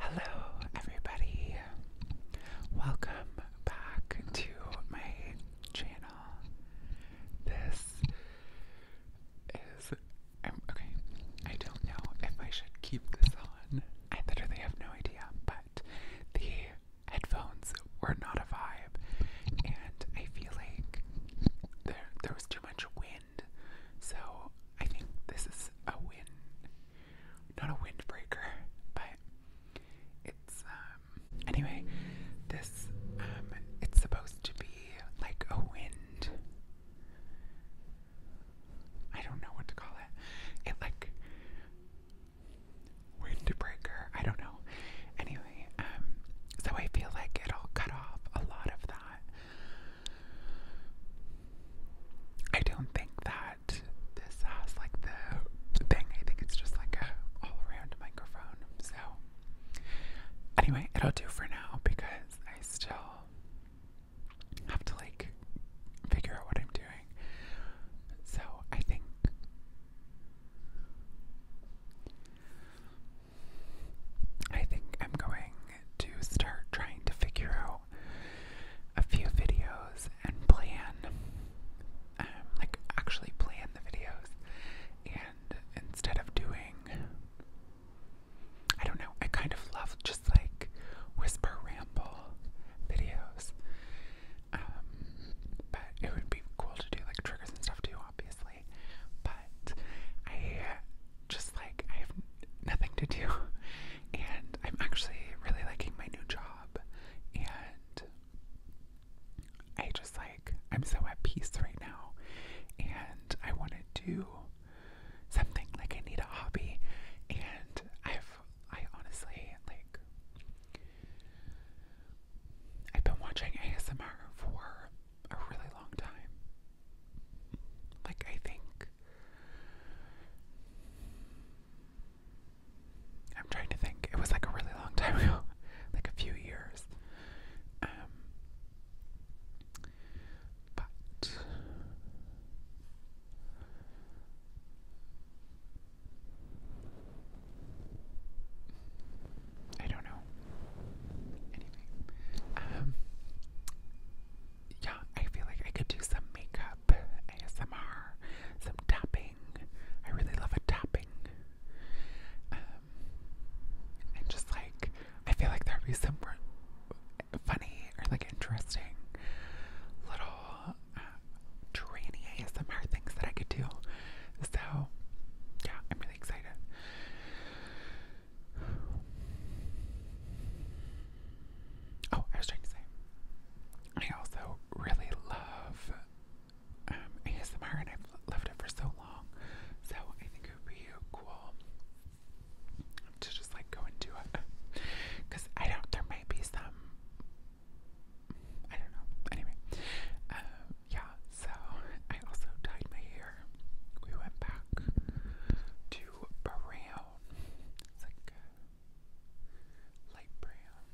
Hello, everybody. Welcome back to my channel. This is. i um, okay, I don't know if I should keep this on. I literally have no idea, but the headphones were not a vibe, and I feel like there, there was too much wind wind. So I think this is a wind, not a windbreaker, but it's um anyway, this um it's supposed to be like a wind. I don't know what to call it. It like windbreaker. I don't know. Anyway, um, so I feel like it'll cut off a lot of that. I don't think that this has like the thing. I think it's just like a all around microphone. So anyway, it'll do for now because I still have to like figure out what I'm doing. So I think I think I'm going to start trying to figure out a few videos and plan, um, like actually plan the videos. And instead of doing, I don't know, I kind of love just like whisper ramble videos. Um, but it would be cool to do like triggers and stuff too obviously, but I just like I have nothing to do, and I'm actually really liking my new job, and I just like I'm so at peace right now, and I want to do something like I need a hobby, and I've I honestly like I've been watching ASMR for a really long time. Like, I think. I'm trying to think. It was like a really long time ago, like a few years. Um, but I don't know. Anyway, um, yeah, I feel like I could do some makeup, ASMR, some tapping. I really love a tapping. Um, and just like, I feel like there'd be some funny or like interesting little uh, ASMR things that I could do. So, yeah, I'm really excited. Oh, I was trying to say, I also really love um, ASMR and I've loved it for so long. So I think it would be cool to just like go and do it. Because I don't, there might be some, I don't know. Anyway, um, yeah, so I also dyed my hair. We went back to brown. It's like light brown.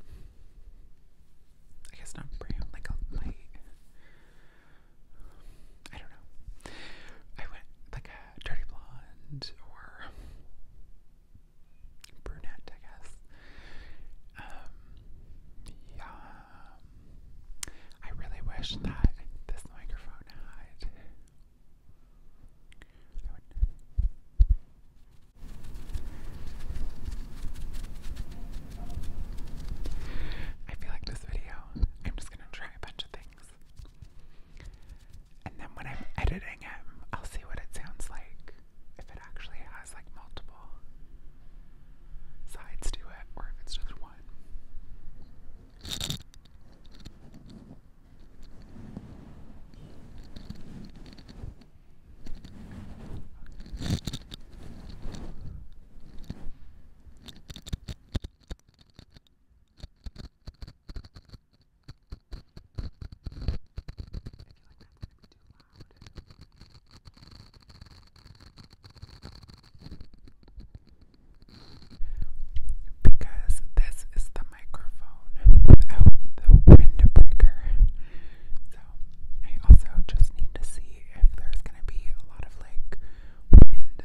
I guess not brown, like a light. I don't know. I went like a dirty blonde or brunette, I guess. Um, yeah. Um, I really wish that this microphone had. I feel like this video, I'm just gonna try a bunch of things. And then when I'm editing it, I'll see what it sounds like. If it actually has like multiple sides to it, or if it's just wine. If you like that, it's going to be too loud. Because this is the microphone without the windbreaker. So I also just need to see if there's gonna be a lot of like wind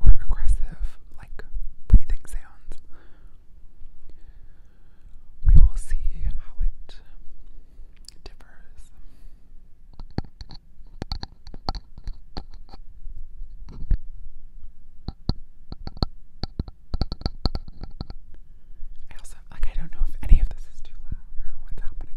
or aggressive like breathing sounds. We will see how it differs. I also like I don't know if any of this is too loud or what's happening.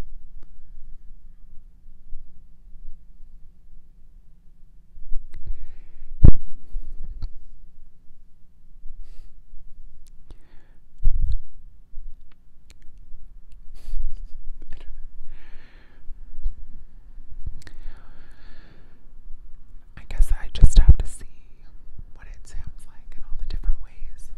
I guess I just have to see what it sounds like in all the different ways.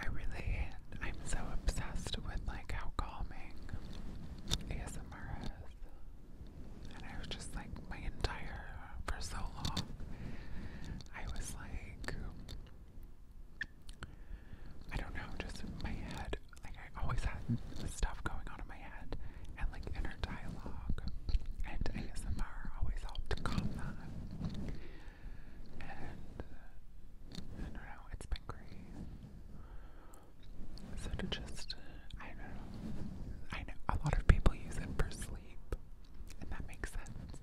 I really, I'm so obsessed with like how calming ASMR is. And I was just like, my entire, uh, for so long, I was like, I don't know, just in my head, like I always had stuff going on in my head and like inner dialogue. And ASMR always helped calm that. And uh, I don't know, it's been great. So to just, I don't know. I know a lot of people use it for sleep, and that makes sense.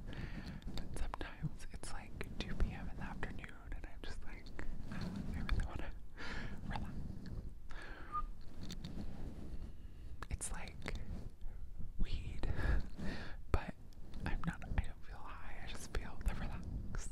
sometimes it's like 2 p.m. in the afternoon, and I'm just like, ah, I really want to relax. It's like weed, but I'm not, I don't feel high, I just feel relaxed.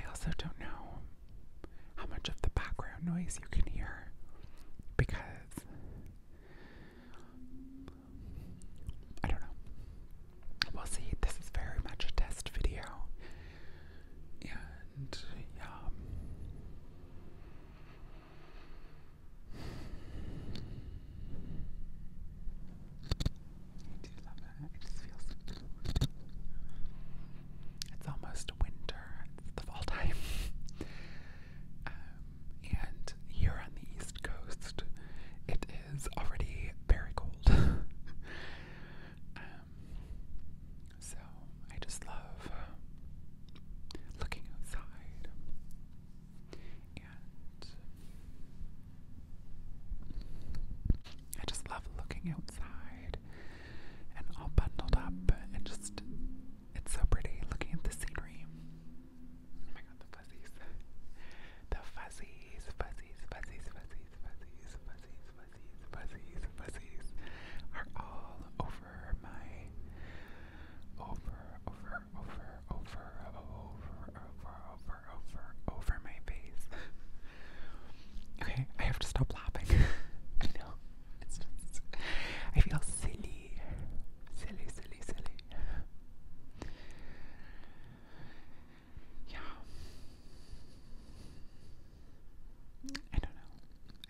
I also don't know how much of the background noise you can hear because I don't know. We'll see. This is very much a test video. And yeah. I do love it. It just feels it's almost winter. It's the fall time. Um, and here on the East Coast, it is already very cold. Um, so I just love uh, looking outside and. I just love looking outside and all bundled up and just it's so pretty looking at the scenery. Oh my god, the fuzzies. The fuzzies, fuzzies, fuzzies, fuzzies, fuzzies, fuzzies, fuzzies, fuzzies, fuzzies are all over my over, over, over, over, over, over, over, over, over my face. okay, I have to stop laughing. I know. It's just I feel silly. Silly, silly, silly. Yeah. I don't know. I don't know.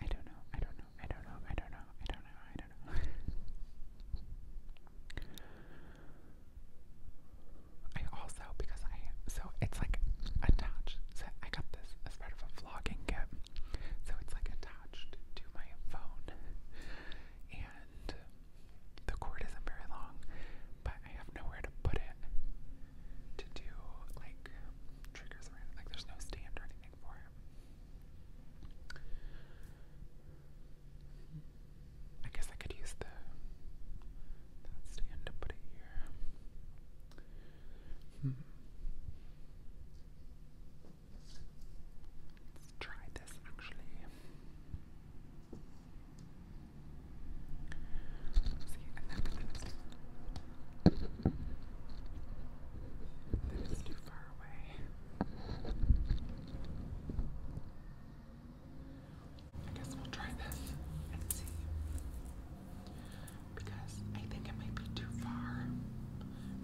I don't know. I don't know. I don't know. I don't know. I don't know. I also because I so it's like attached. So I got this as part of a vlogging kit. So it's like attached to my phone. And the cord isn't very long, but I have nowhere to put it to do like triggers around it. Like there's no stand or anything for I guess I could use the stand to put it here. Hmm. Let's try this actually. See, and then, then, it's, then it's too far away. I guess we'll try this and see. Because I think it might be too far,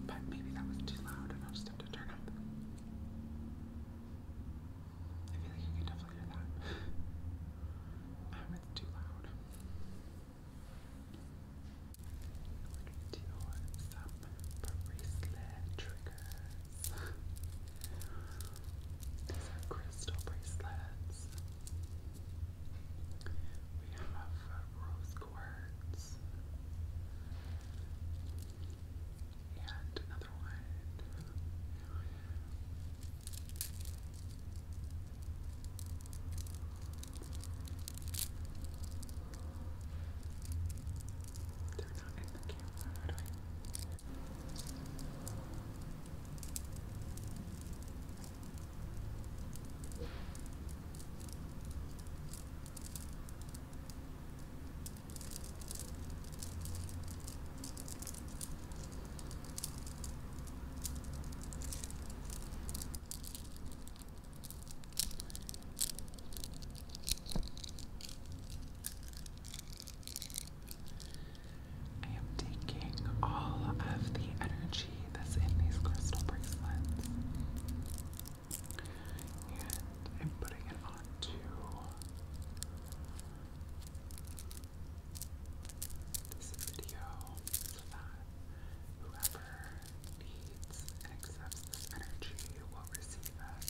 but maybe that was too loud and i just have to turn up. I feel like I can definitely hear that. it's too loud. We're to do some bracelet These are crystal bracelets. We have uh, rose words. And another They're not in I am taking all of the energy that's in these crystal bracelets and I'm putting it onto this video that whoever needs and accepts energy will receive it.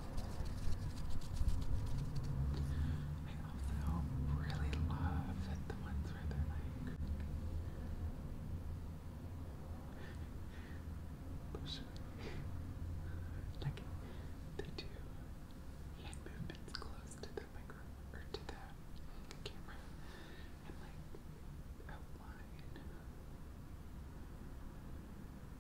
I also really love the ones where they're like like they do hand movements close to the microphone or to the camera and like outline.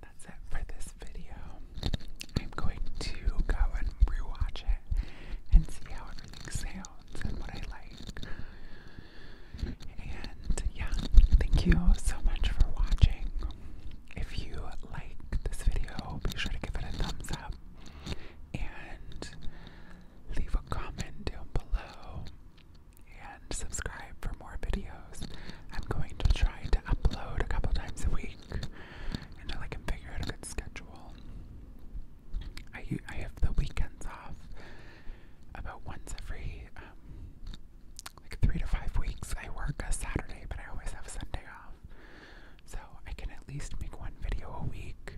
That's it for this video. I'm going to go and rewatch it and see how everything sounds and what I like. And yeah, thank you so much for watching. If you like this video, be sure to give it a thumbs up and leave a comment down below and subscribe for more videos. I'm going to try to upload a couple times a week until I can figure out a good schedule. I I have the weekends off about once every um, like three to five weeks. I work a Saturday, but I always have a Sunday off, so I can at least make one video a week.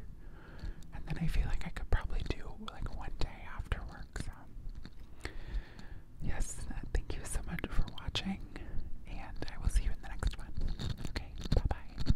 And then I feel like I could probably do like one day after work. So yes, uh, thank you so much for watching, and I will see you in the next one. Okay, bye bye.